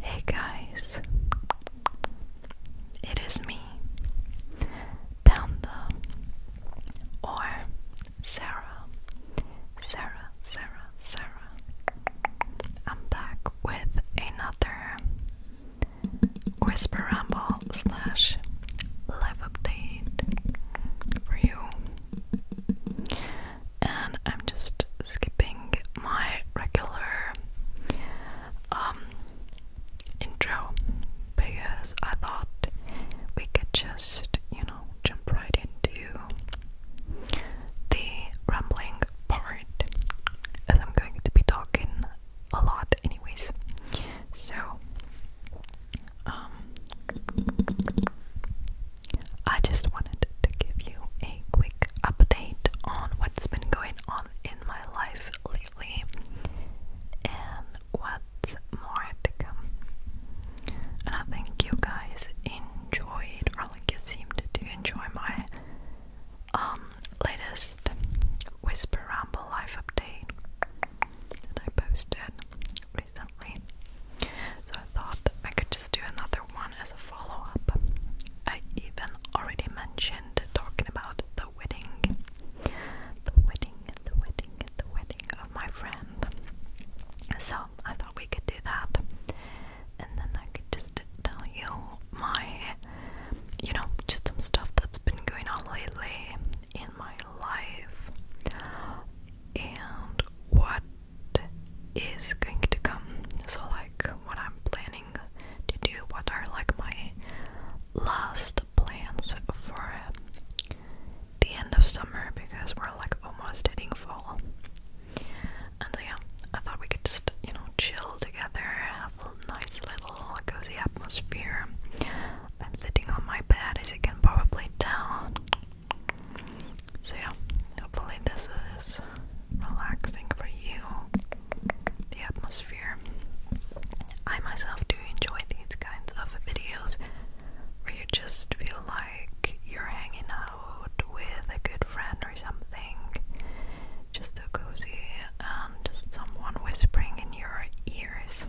Hey guys, it is me, Panda, or Sarah, Sarah, Sarah, Sarah. I'm back with another Whisper Ramble slash live update for you and I'm just skipping my regular um, intro because I thought we could just, you know, jump right into the rambling part as I'm going to be talking a lot anyways. So um, I just wanted to give you a quick update on what's been going on in my life lately and what's more to come. And I think you guys enjoyed, or like you seemed to enjoy my um, latest Whisper Ramble life update that I posted recently. So I thought I could just do another one as a follow up. I even already mentioned talking about the wedding. The wedding, the wedding, the wedding of my friend. So I thought we could do that. And then I could just tell you my, you know, just some stuff that's been going on lately in my life. And what is going to come. So, like, what I'm planning to do, what are like my last plans for the end of summer because we're like almost hitting fall. And yeah, I thought we could just, you know, chill together, have a nice little cozy atmosphere. I'm sitting on my bed, as you can probably tell. So, yeah, hopefully, this is relaxing for you. The atmosphere. I myself do enjoy these kinds of videos where you just feel like you're hanging out with a good friend or something. Just a cozy and just someone whispering in your ears.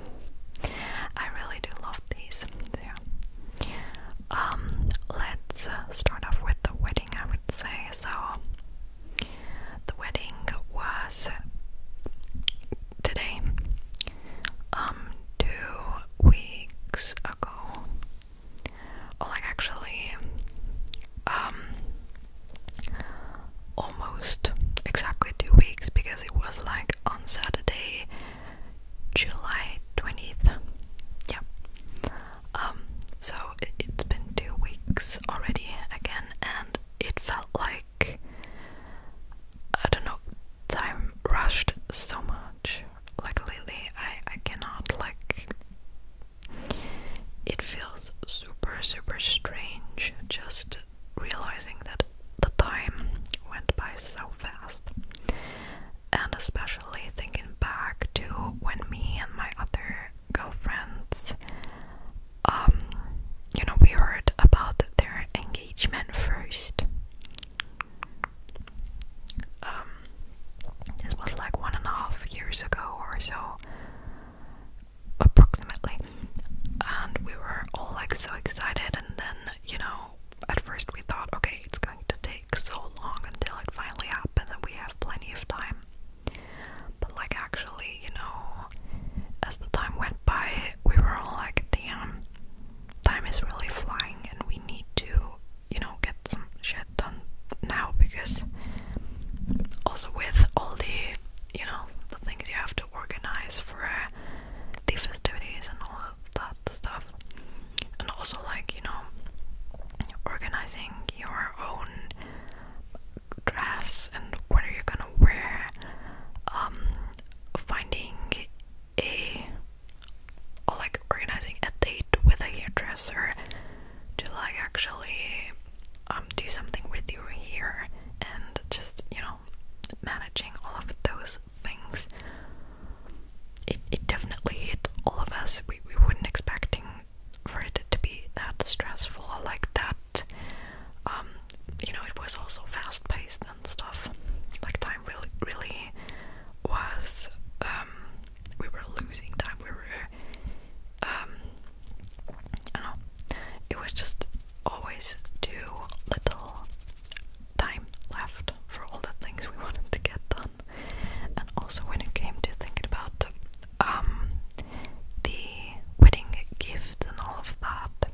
I really do love these. Yeah. Um, let's start off with the wet I would say. So, the wedding was today, um, two weeks ago. like, actually, um, almost exactly two weeks because it was like on Saturday, July 20th. Yeah. Um, so it, it's been two weeks already again, and it felt like I don't know, time rushed so much. Like lately, I I cannot like. It feels super super strange just realizing that the time went by so fast, and especially thinking back to when me and my other girlfriends, um, you know, we heard about their engagement first. Um, this was like one and a half years ago or so, approximately. And we were all like so excited, and then, you know, at first we thought, okay, it's going to take so long until it finally happened that we have plenty of time. But like actually, you know, as the time went by, we were all like, damn, time is really flying and we need to, you know, get some shit done now because also with all the, you know, the things you have to organize for uh, the festivities and all of that stuff. And also like, you know, organizing your own dress and what are you gonna wear um finding a or like organizing a date with a hairdresser to like actually um do something with your hair and just you know managing all of those things it, it definitely hit all of us we, we weren't expecting for it to be that stressful like that. Um, you know, it was also fast paced and stuff. Like time really, really was. Um, we were losing time. We were. I um, know. It was just always too little time left for all the things we wanted to get done. And also when it came to thinking about um, the wedding gift and all of that,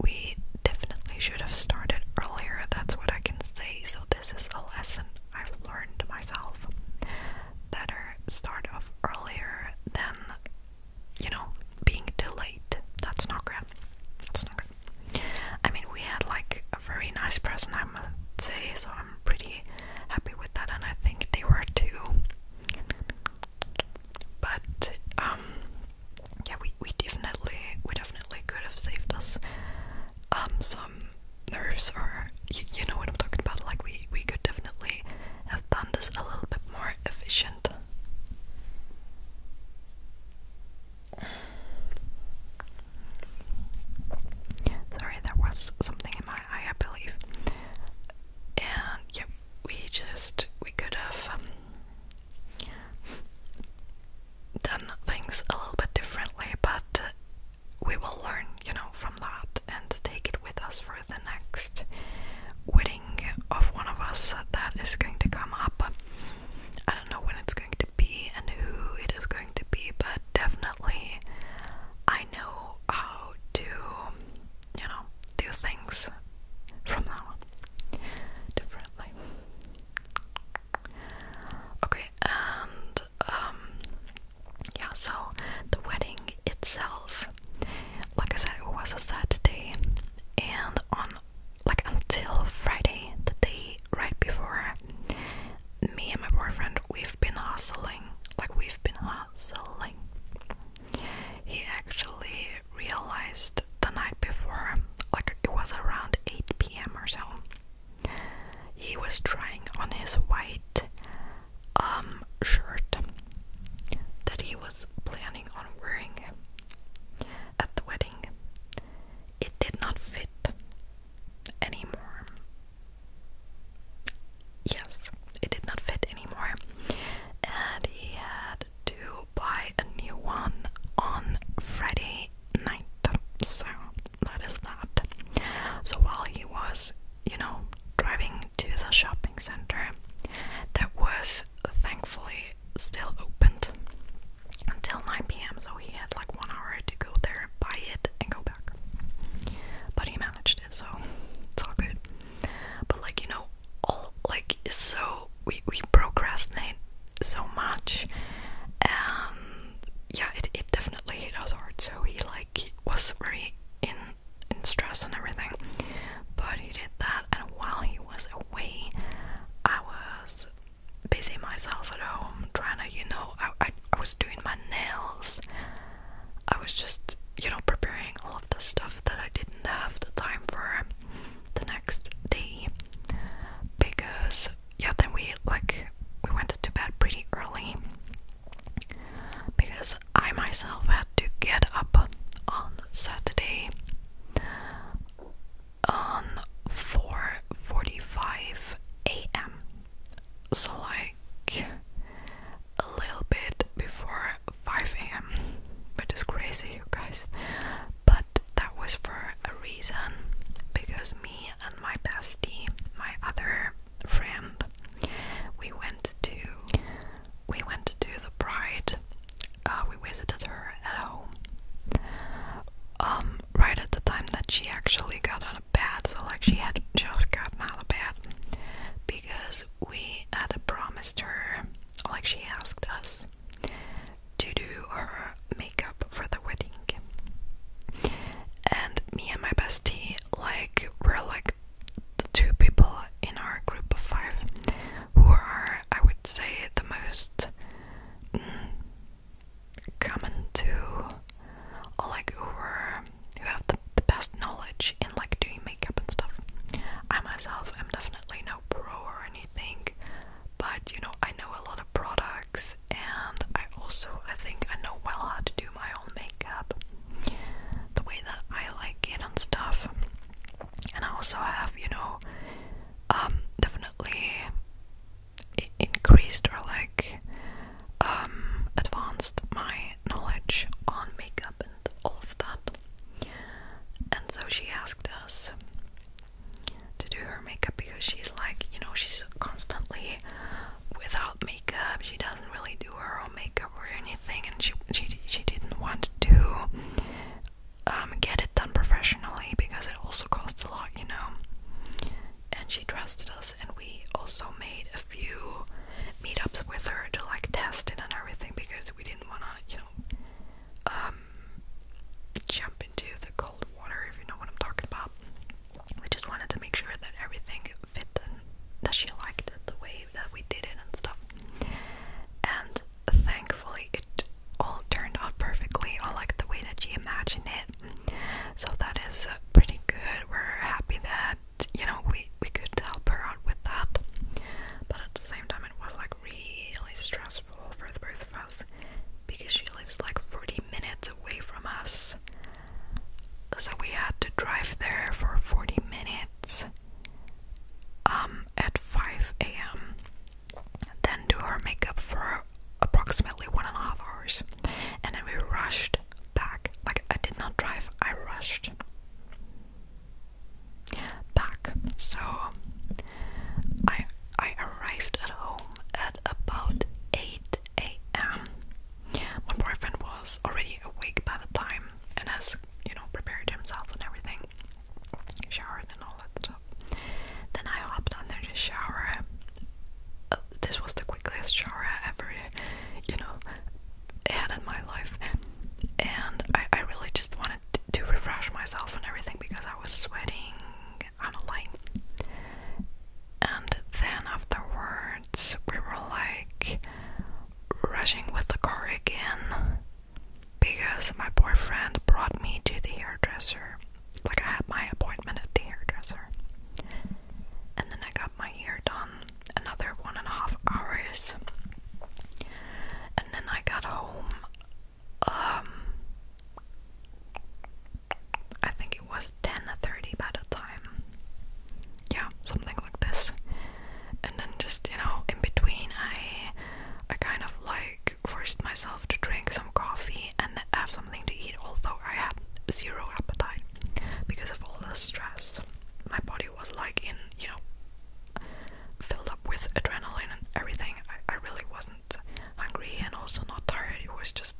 we definitely should have started earlier. That's what I can say. So this is a lesson I've learned myself. Better start off earlier than you know being delayed. That's not great. That's not good. I mean, we had like a very nice present, I must say, so I'm pretty happy with that, and I think they were too. But um, yeah, we we definitely we definitely could have saved us um some nerves, or you, you know what I'm talking about. Like we we could definitely have done this a little bit more efficient. Sorry, there was something in my eye, I believe. And yep, we just we could have um, done things a little bit differently, but we will learn, you know, from that and take it with us for the next wedding of one of us that is going to come up. I don't know when it's going to be and who it is going to be, but definitely I know how to, you know, do things from now differently. Okay, and um, yeah, so the wedding itself, like I said, it was a Saturday, and on like until Friday, the day right before, me and my boyfriend, we've been hustling like we've been hustling. He actually realized the night before, like it was around 8 p.m. or so. He was trying on his white um shirt that he was planning on wearing at the wedding. It did not fit anymore. Yes, it did not fit anymore, and he had to buy a new one on Friday night. So that is that. So while he was, you know, driving to the shopping center, that was thankfully still opened until 9 pm, so he had like one hour to go there, buy it, and go back. But he managed it, so it's all good. But like you know, all like so we we procrastinate so much, and yeah, it it definitely hit us hard. So he like was very in in stress and everything. But he did that, and while he was away, I was busy myself at home trying to you know I, I was doing my nails. I was just, you know, preparing all of the stuff that I didn't have the time for the next day because, yeah, then we like we went to bed pretty early because I myself had to get up on Saturday on 4:45 a.m so like a little bit before 5 a.m. Which crazy, you guys. But that was for a reason because me and my bestie, my other friend, we went to we went to the bride. Uh, we visited her at home. Um, right at the time that she actually got an out of so like she had just gotten out of bed because we had promised her, like she asked us, to do her makeup for the wedding. And me and my bestie, like, we're like the two people in our group of five who are, I would say, the most mm, common to, like, who were who have the, the best knowledge in like doing makeup and stuff. I myself am definitely no pro or anything, but you know, I know a lot of products and I also I think I know well how to do my own makeup the way that I like it and stuff. And I also have, you know, um, definitely increased or like um, advanced my knowledge on makeup and all of that. And so she asked us to do her makeup because she's like, you know, she's constantly without makeup. She doesn't really do her own makeup or anything, and she she she didn't want to um, get it done professionally because it also costs a lot, you know and she trusted us and we also made a few meetups with her to like test it and everything because we didn't wanna, you know, um, jump into the cold water if you know what I'm talking about. We just wanted to make sure that everything fit and that she liked it the way that we did it and stuff. And thankfully it all turned out perfectly or like the way that she imagined it. So that is pretty good. We're happy that you know, we we could help her out with that. But at the same time, it was like really stressful for the both of us because she lives like 40 minutes away from us. So we had to drive there for 40 minutes um at 5 a.m. Then do her makeup for approximately one and a half hours, and then we rushed back. Like I did not drive, I rushed back. So I I arrived at home at about 8 a.m. My boyfriend was already awake by the time and has, you know, prepared himself and everything. Showered and all that Then I hopped under the shower. Uh, this was the quickest shower ever, you know, had in my life, and I, I really just wanted to refresh myself and everything because I was sweating on a line. And then afterwards, we were like rushing with the car again because my boyfriend brought me to the hairdresser. Like, I had my appointment at the hairdresser and then I got my hair done another one and a half hours, and then I got home. Um, I think it was 10:30 by the time, yeah, something like this. And then just you know, in between, I I kind of like forced myself to drink some coffee and have something to eat, although I had zero appetite because of all the stress my body was like in you know filled up with adrenaline and everything I, really wasn't hungry and also not tired it was just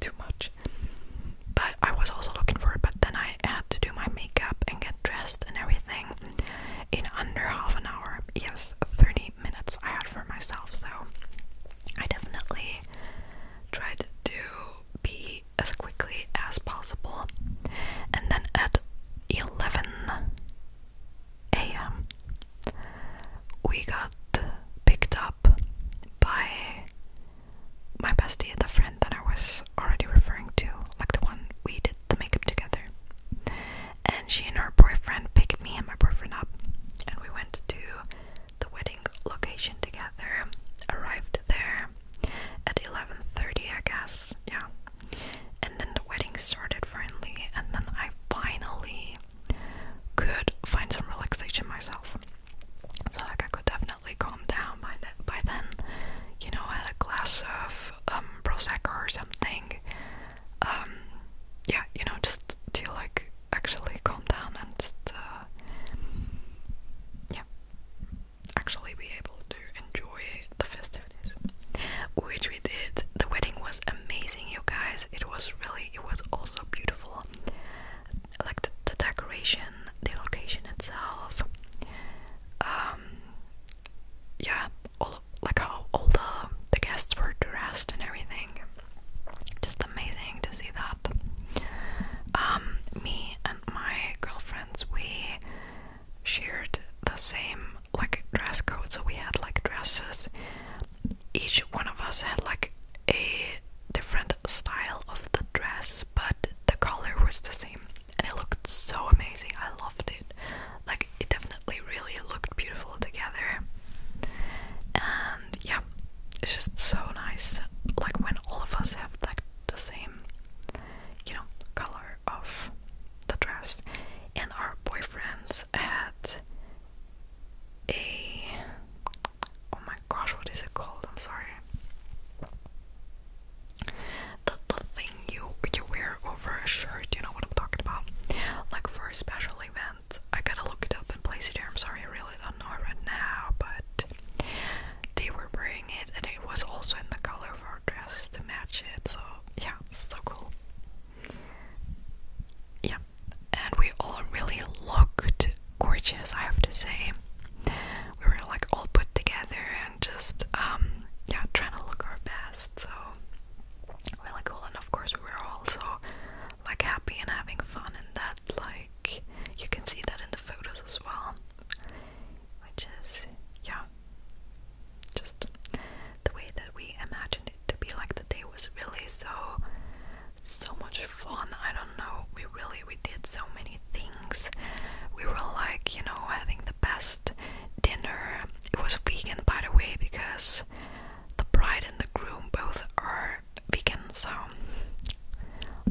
too much but I was also looking for it but then I had to do my makeup and get dressed and everything in under half an hour yes 30 minutes I had for myself so I definitely tried to be as quickly as possible. And then at 11 a.m., we got picked up by my bestie, the friend that I was already referring to, like the one we did the makeup together. And she and her boyfriend picked me and my boyfriend up, and we went to the wedding location together. Arrived there, at 11.30 I guess, yeah. And then the wedding started finally and then I finally could find some relaxation myself. So like I could definitely calm down by, by then, you know, had a glass of um, Prosecco or something. Um, yeah, you know, just to like actually calm down and just, uh, yeah actually be able to enjoy the festivities, which we did. The wedding was amazing, you guys. It was really, it was also beautiful. Like the, decoration, the location itself. Um, yeah, all like how all the the guests were dressed and everything. Just amazing to see that. Um, me and my girlfriends, we shared the same like dress code, so we had like dresses. Each one of us had like a different style of the dress, but the color was the same, and it looked so amazing. I loved it. Like it definitely really looked beautiful together. And yeah, it's just so nice. Like when all of us have like the same you know, color of the dress. And our boyfriends had a oh my gosh, what is it called? I'm sorry. The the thing you you wear over a shirt, you know what I'm talking about? Like for special event. I gotta look it up and place it here. I'm sorry, really don't know right now, but they were wearing it and it was also in the color of our dress to match it so yeah so cool yeah and we all really looked gorgeous I have to say we were like all put together and just um yeah trying to look our best so really cool and of course we were also like happy and having fun and that like you can see that in the photos as well which is, yeah, just the way that we imagined it to be. Like the day was really so, so much fun. I don't know. We really we did so many things. We were like, you know, having the best dinner. It was vegan, by the way, because the bride and the groom both are vegan. So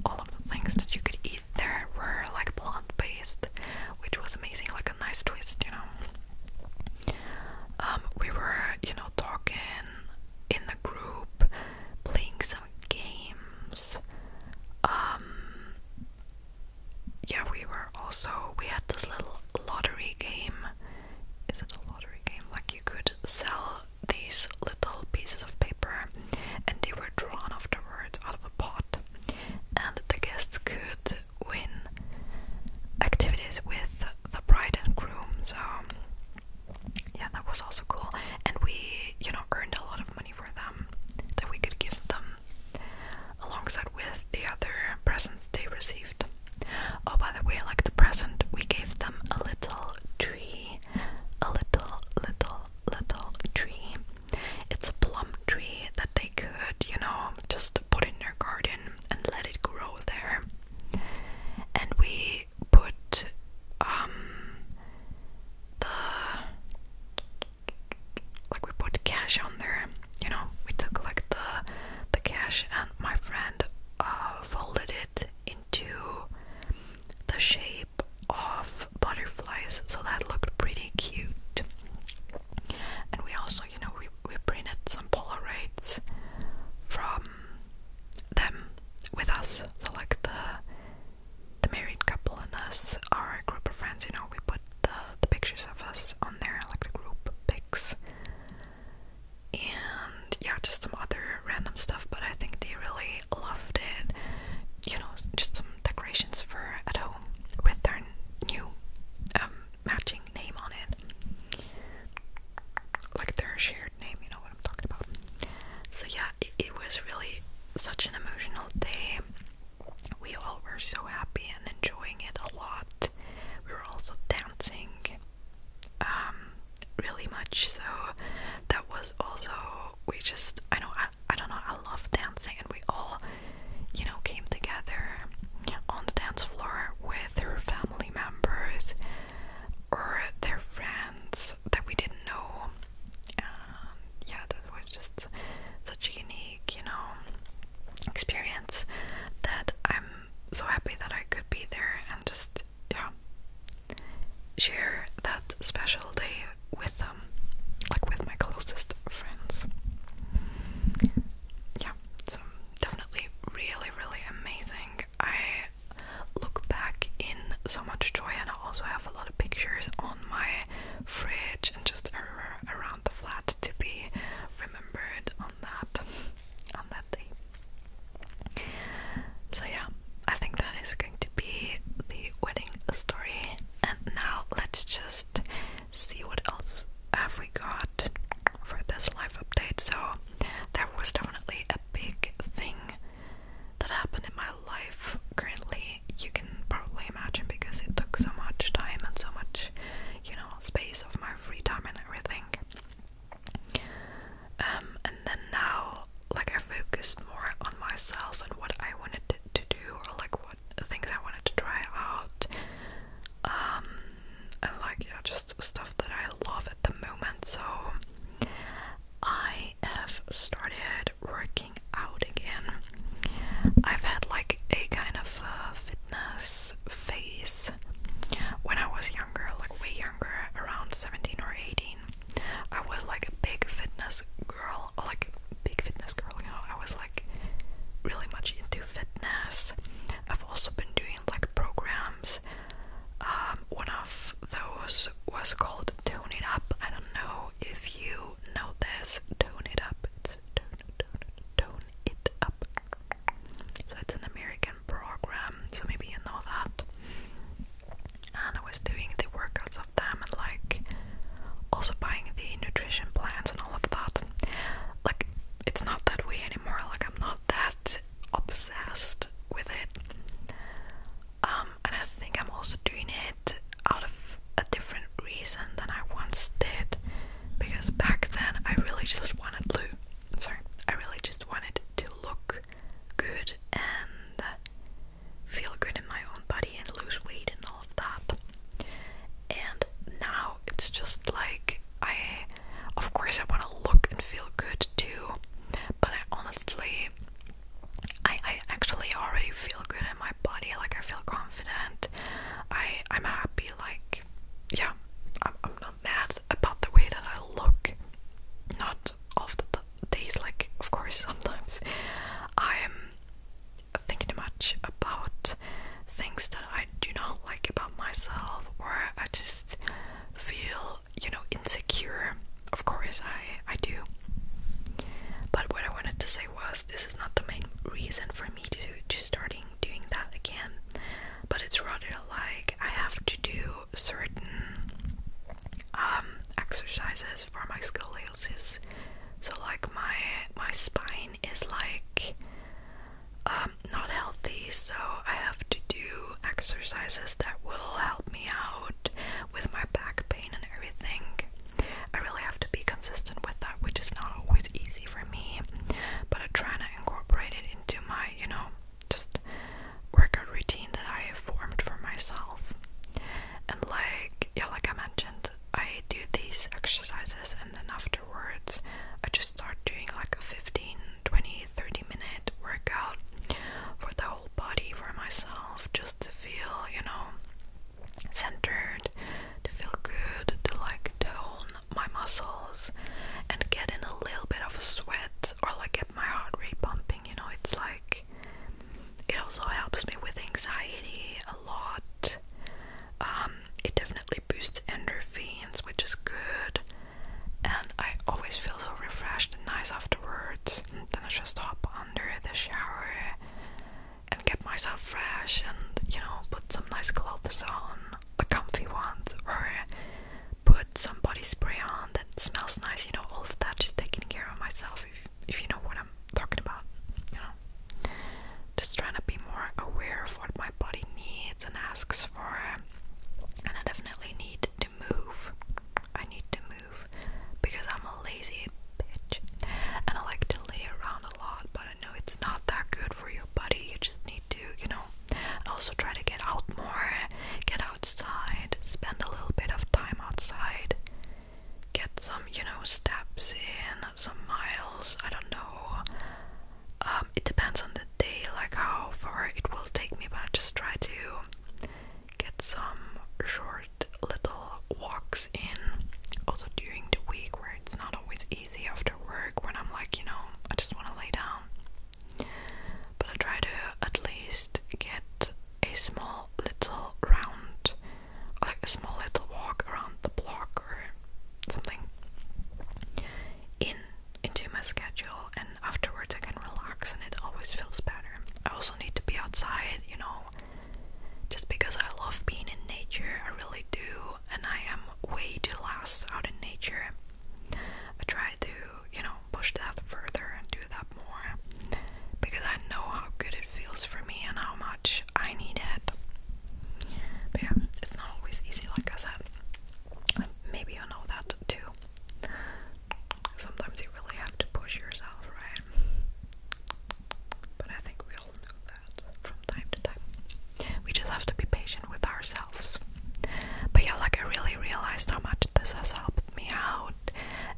all of the things that you could eat there were like plant based, which was amazing, like a nice twist, you know. Um, we were, you know, talking in the group, playing some games. Um, yeah, we were also we had this little lottery game. Is it a lottery game? Like you could sell these little pieces of paper and they were drawn afterwards out of a pot and the guests could win activities with the bride and groom so yeah that was also cool and we you know earned a lot of money for them that we could give them alongside with the other presents they received oh by the way like the present we gave them a little tree a little little little tree it's a plum tree that they could, you know, just put in their garden and let it grow there. And we put um the like we put cash on there, you know, we took like the the cash and my friend uh, folded it into the shape of butterflies, so that looked pretty cute. And we also, you know, we, we printed some Polaroids from them with us. So like the the married couple and us, our group of friends, you know, we put the, the pictures of us on there, like the group pics. And yeah, just some other random stuff, but I think they really loved it. You know, just some decorations for at home with their new um, matching name on it. Like their shared name, you know what I'm talking about. So, yeah, it, was really such an emotional day. We all were so happy and enjoying it a lot. We were also dancing um, really much, so that was also. We just, I know, I, I don't know, I love dancing, and we all, you know, came together on the dance floor with her family members or their friends that we didn't know. Um, yeah, that was just such a unique, you know, experience that I'm so happy that I could be there and just, yeah, share that special day with um like with my closest friends. Yeah, so definitely really, really amazing. I look back in so much joy and I also have a lot of pictures on my fridge and just everywhere around the flat to be remembered on that on that day. So yeah, I think that is going to be the wedding story. And now let's just see what else have we got for this live update. So there was definitely a big thing that happened in my life currently. You can probably imagine because it took so much time and so much, you know, space of my free time and everything. Um, and then now, like, I focused more on myself and what I wanted to to do or like what things I wanted to try out. Um, and like yeah, just stuff that I love at the moment. So I have started working out again. I've had like a kind of uh, fitness phase when I was younger, like way younger, around 17 or 18. I was like a big fitness girl, or like big fitness girl, you know, I was like really much into fitness. I've also been doing like programs. Um, one of those was called Tone It Up. I don't know if you know this. Tone It Up. It's Tone, tone, tone It Up. So it's an American program, so maybe you know that. And I was doing the workouts them and like also buying the nutrition plans and all of that. Like it's not that way anymore. Like I'm not that obsessed with it. Um and I think I'm also doing it out of a different reason than I once did because back then I really just wanted to sorry, I really just wanted to look good and feel good in my own body and lose weight and all of that. And now it's just like I, of course, I want to look and feel good too, but I honestly, I, I actually already feel good in my body. Like I feel confident. I I'm happy. Like yeah, I'm, I'm not mad about the way that I look. Not of the days, like of course sometimes I'm thinking much about things that I do not like about myself, or I just feel, you know, insecure. Of course, I, I do. But what I wanted to say was this is not the main reason for me to, to starting doing that again, but it's rather like I have to do certain um, exercises for my scoliosis. So like my my spine is like um, not healthy, so I have to do exercises that will help me out with my back pain and everything. I really have to be consistent with that, which is not always easy for me. But I am trying to incorporate it into my, you know, just workout routine that I have formed for myself. And like yeah, like I mentioned, I do these exercises and then afterwards I just start doing like a 15, 20, 30 minute workout for the whole body for myself just to feel, you know, centered, to feel good, to like tone my muscles and get in a little bit of sweat or like get my heart rate pumping, you know, it's like it also helps me with anxiety a lot. Um, it definitely boosts endorphins, which is good, and I always feel so refreshed and nice afterwards. Then I just hop under the shower and get myself fresh, and you know, put some nice clothes on, a comfy ones, or put some body spray on that smells nice. You know, all of that, just taking care of myself if you know what I'm talking about, you know. Just trying to be more aware of what my body needs and asks for. And I definitely need to move. I need to move because I'm a lazy bitch. And I like to lay around a lot, but I know it's not that good for your body. You just need to, you know. also try to get out more, get outside, spend a little bit of time outside get some, you know, steps in, some miles, I don't know. Um, it depends on the day, like how far it will take me, but I just try to get some short little walks in. Also during the week, where it's not always easy after work, when I'm like, you know, I just want to lay down. But I try to at least get a small little round like a small little walk around the block or something in into my schedule and afterwards I can relax and it always feels better. I also need to be outside, you know, just because I love being in nature, I really do, and I am way too last out in nature. I try to, you know, push that further and do that more because I know how good it feels for me and how much I need it. But yeah, it's not always easy, like I said. maybe you know that too. Sometimes you really have to push yourself, right? But I think we all know that from time to time. We just have to be patient with ourselves. But yeah, like I really realized how much this has helped me out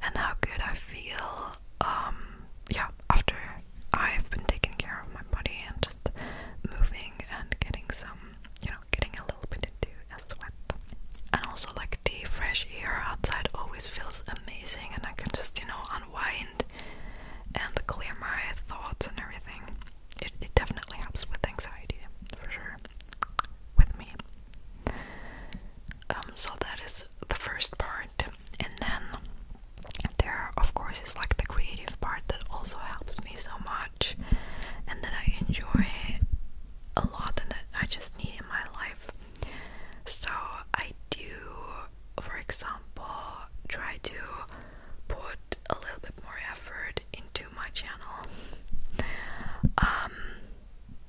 and how good I feel um, yeah, after I've been taking care of my body and just moving and getting some, you know, getting a little bit into a sweat. And also, like, the fresh air outside always feels amazing, and I can just, you know, unwind and clear my thoughts and everything. It, it definitely helps with anxiety, for sure, with me. Um, so that is the first part and then there of course is like the creative part that also helps me so much and that I enjoy a lot and that I just need in my life. So I do for example try to put a little bit more effort into my channel. Um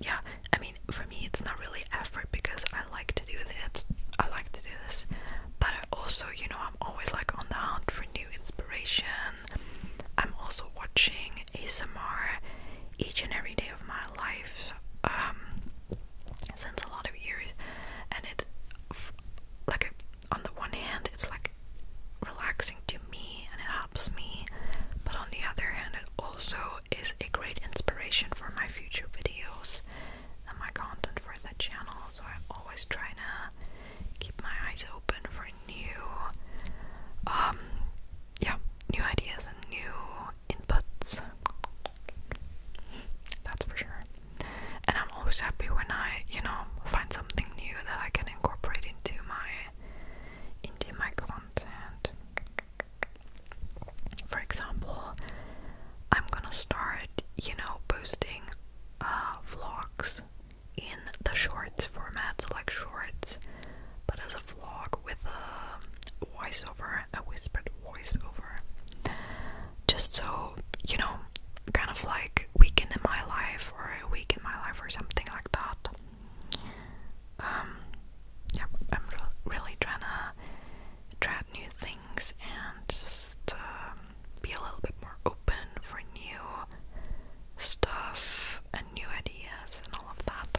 yeah, I mean it's not really effort because I like to do this I like to do this but I also you know I'm always like on the hunt for new inspiration I'm also watching ASMR each and every day of my life um since a lot of years and it like on the one hand it's like relaxing to me and it helps me but on the other hand it also is a great inspiration for my future videos and my content for the channel, so I always trying to keep my eyes open for new, um, yeah, new ideas and new inputs. That's for sure. And I'm always happy when I, you know, find something new that I can incorporate into my into my content. For example, I'm gonna start, you know, posting uh, vlogs in the shorts format, so like shorts, but as a vlog with a voiceover, a whispered voiceover. Just so, you know, kind of like weekend in my life or a week in my life or something like that. Um, yeah, I'm really trying to try new things and just um, be a little bit more open for new stuff and new ideas and all of that.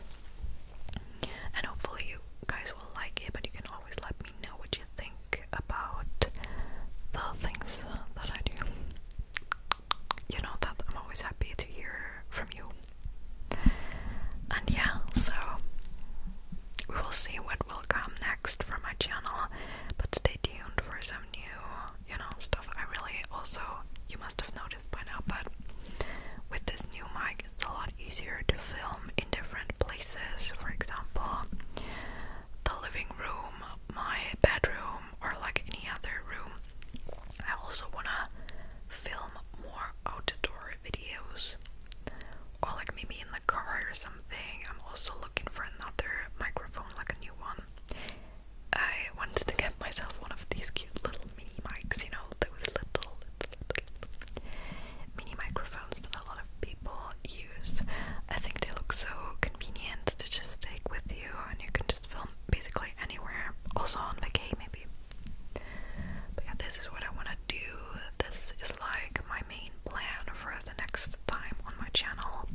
And hopefully, you guys will like it, but you can always let me know what you think about the things that I do. You know that I'm always happy to hear from you. And yeah, so we will see what will come next for my channel, but stay tuned for some new, you know, stuff. I really also, you must have noticed by now, but with this new mic, it's a lot easier to film in different places. For example, the living room, my bedroom, or like any other room. I also wanna film more outdoor videos or like maybe in the car or something. I'm also looking for another microphone, like a new one. I wanted to get myself one of these cute little mini mics, you know, those little, little, mini microphones that a lot of people use. I think they look so convenient to just take with you and you can just film basically anywhere, also on vacay maybe. But yeah, this is what I want to do. This is like my main plan for the next time on my channel.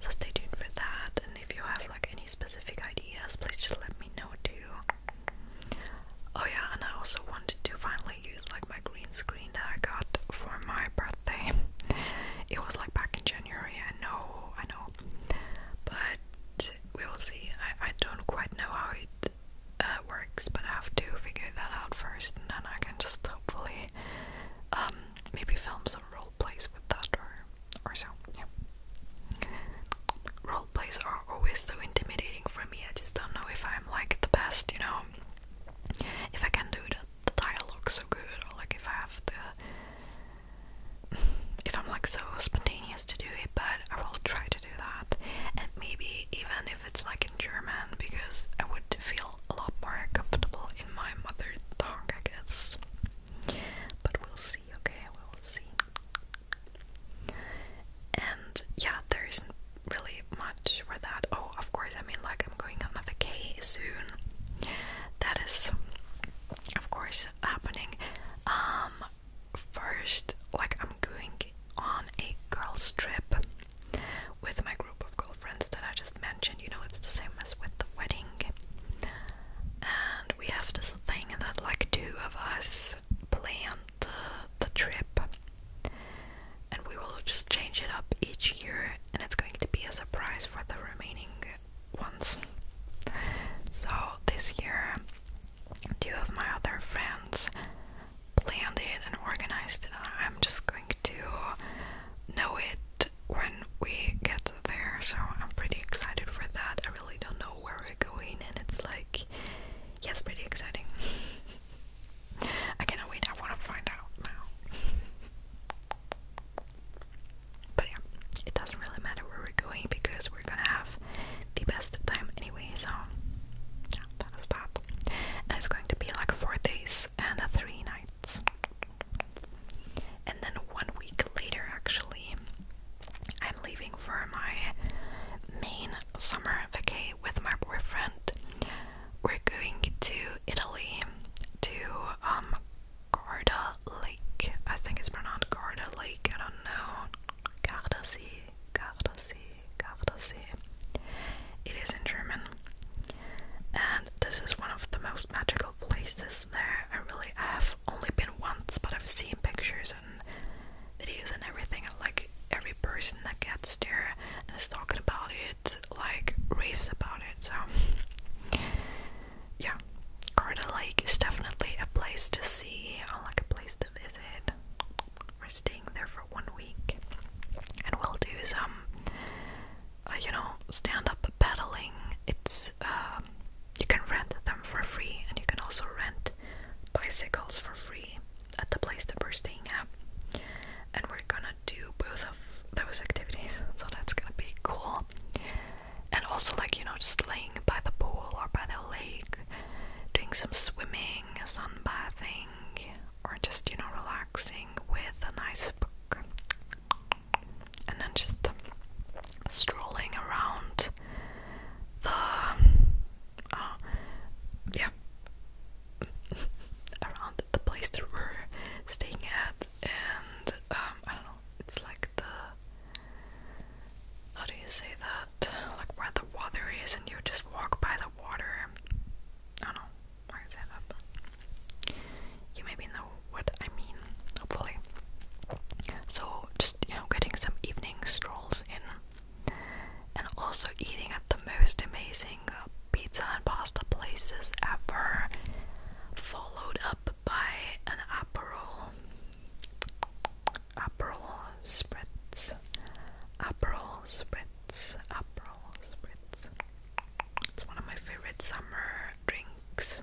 So stay tuned for that. And if you have like any specific ideas, please just let me know too. Oh yeah, and I also wanted to finally use like my green screen that I got for my birthday. It was like back in January, I know, I know. But we will see. I, I don't quite know how it uh, works, but I have to figure that out first, and then I can just hopefully um, maybe film some role plays with that or or so. Yeah. Role plays are always so intimidating for me. I just don't know if I'm like the best, you know, if I can do the, the dialogue so good, or like if I have the if I'm like so spontaneous to do it, but I will try do that, and maybe even if it's like in German, because I would feel a lot more comfortable in my mother tongue, I guess. But we'll see, okay? We will see. And yeah, there isn't really much for that. Oh, of course, I mean, like, I'm going on a vacation soon. That is, of course, happening. Um, first, like, I'm going on a girls' trip with my group of girlfriends that I just mentioned. You know, it's the same as with the wedding. And we have this thing that, like, two of us plan the, the trip, and we will just change it up each year, and it's going to be a surprise for the remaining ones. So, this year, two of my other friends planned it and organized it. Uh, I'm just going to know it when we get there. So I'm pretty excited for that. I really don't know where we're going, and it's like, yes, pretty exciting. I cannot wait. I want to find out now. But yeah, it doesn't really matter where we're going because we're gonna have the best time anyway, so that is that. And it's going to be like four days and three nights. And then one week later, actually, I'm leaving for my main summer vacation with my boyfriend. We're going to Italy to um Garda Lake. I think it's pronounced Garda Lake. I don't know. Garda Sea. Garda Sea. Gardasee. It is in German, and this is one of the most magical places there. I really have only been once, but I've seen pictures and videos and everything, and like every person that gets there and is talking about it, like raves about it. So, yeah, Garda Lake is definitely a place to see or like a place to visit. We're staying there for one week, and we'll do some, uh, you know, stand-up paddling. It's um, you can rent them for free, and you can also rent bicycles for free at the place that we're staying at. And we're gonna do both of those activities, so that's gonna be cool. And also, like you know, just laying by the pool or by the lake, doing some swimming, sunbathing, or just you know relaxing with a nice book and then just strolling around the uh, yeah around the place that we're staying at and um, I don't know it's like the how do you say that like where the water is and you just walk by the water I don't know you maybe know what I mean, hopefully. So, just you know, getting some evening strolls in, and also eating at the most amazing uh, pizza and pasta places ever, followed up by an Aperol, Aperol spritz, Aperol spritz spritz, spritz. It's one of my favorite summer drinks.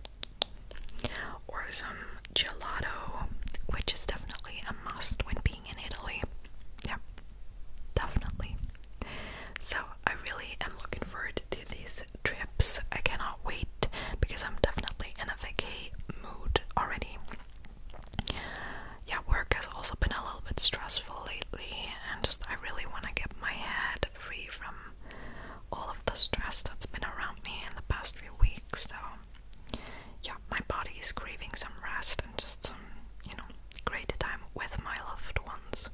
Or some gelato, which is definitely a must when being in Italy. Yeah, definitely. So I really am looking forward to these trips. I cannot wait because I'm definitely in a vacay mood already yeah, work has also been a little bit stressful lately, and just I really want to get my head free from all of the stress that's been around me in the past few weeks. So, yeah, my body is craving some rest and just some, you know, great time with my loved ones.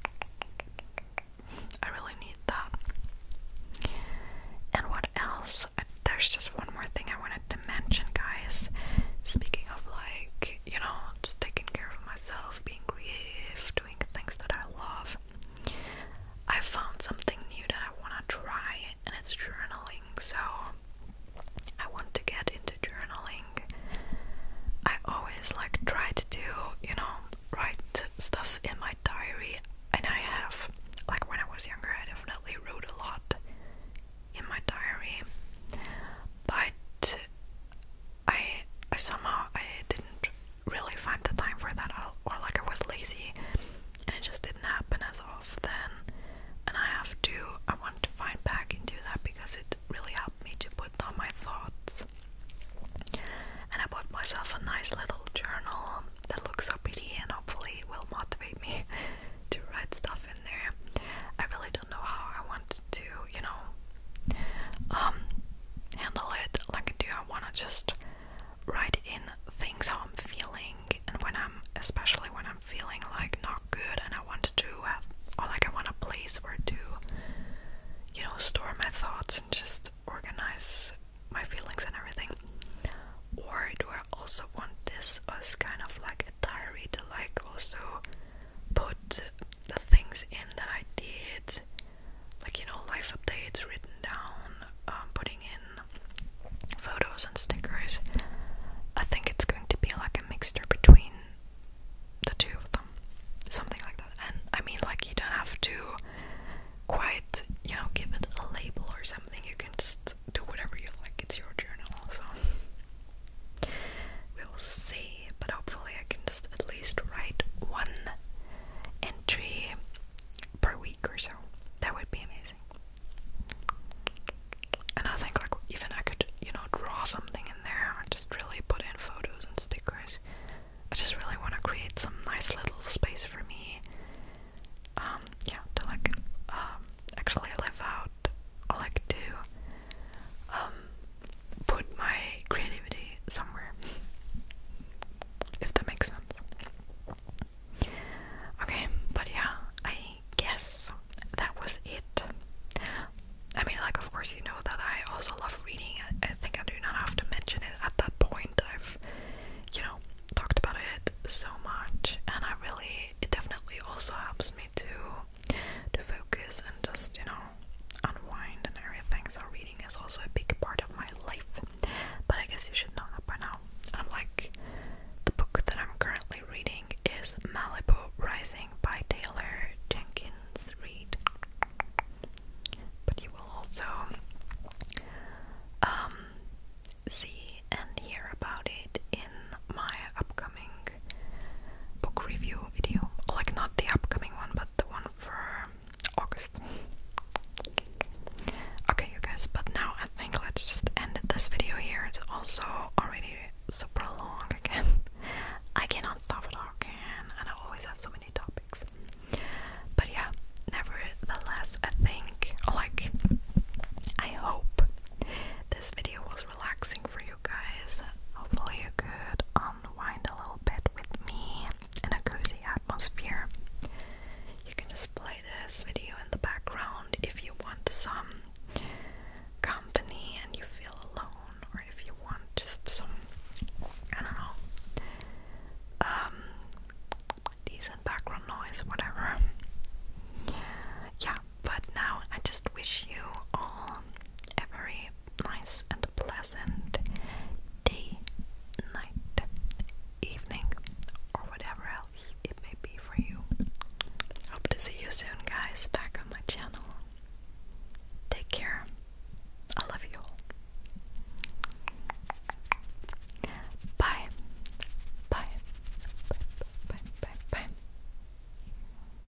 I really need that. And what else? There's just one more thing I wanted to mention, guys. Speaking of like you know, just taking care of myself, being creative, doing things that I love. I found something new that I want to try, and it's journaling. So I want to get into journaling. I always like try to do, you know, write stuff in my diary, and I have. Like when I was younger, I definitely wrote a lot in my diary, but I I somehow I didn't really find the time for that, or like I was lazy, and it just didn't happen as often. And I have to I want to find back and do that because it really helped me to put down my thoughts. And I bought myself a nice little journal that looks so pretty and hopefully will motivate me to write stuff in there. I really don't know how I want to, you know, um, handle it. Like, do I want to just write in things how I'm feeling, and when I'm, especially when I'm feeling like not good, and I want to have, or like I want a place where to, you know, store my thoughts and just organize my feelings and everything. Or do I also want this as kind of like a diary to like also put the things in that I did, like you know, life updates written down, um, putting in photos and stickers. I think it's going to be like a mixture between the two of them, something like that. And I mean, like, you don't have to quite, you know, give it a label or something, you can just do whatever you like, it's your journal, so. We will see, but hopefully, I can just at least write one entry per week or so. That would be amazing. And I think, like, even I could, you know, draw something in there, or just really put in photos and stickers. I just really want to create some nice little space for me. Um, yeah, to like, um, actually live out. I like to um, put my creativity somewhere, if that makes sense. Okay, but yeah, I guess that was it. I mean, like, of course, you know that I also love reading. I, I think I do not have to mention it at that point. I've, you know, talked about it so much, and I really, it definitely also helps me to to focus and just you know unwind and everything. So reading is also a big part of my life. But I guess you should know that by now. I'm like the book that I'm currently reading is Malibu Rising by Taylor Jenkins Reid. But you will also um, see and hear about it in my upcoming book review video, like not the upcoming one, but the one for August. Okay, you guys, but now I think let's just end this video here. It's also already super long again. I cannot stop talking, and I always have so many topics. But yeah, nevertheless, I think, like, I hope this video was relaxing for you guys. Hopefully, you could unwind a little bit with me in a cozy atmosphere. You can just play this video in the background if you want some company and you feel alone, or if you want just some, I don't know, um, decent background noise, whatever. Yeah, but now I just wish you all a nice and pleasant day, night, evening, or whatever else it may be for you. Hope to see you soon, guys, back on my channel. Take care. I love you Bye. Bye. Bye. Bye. Bye. bye.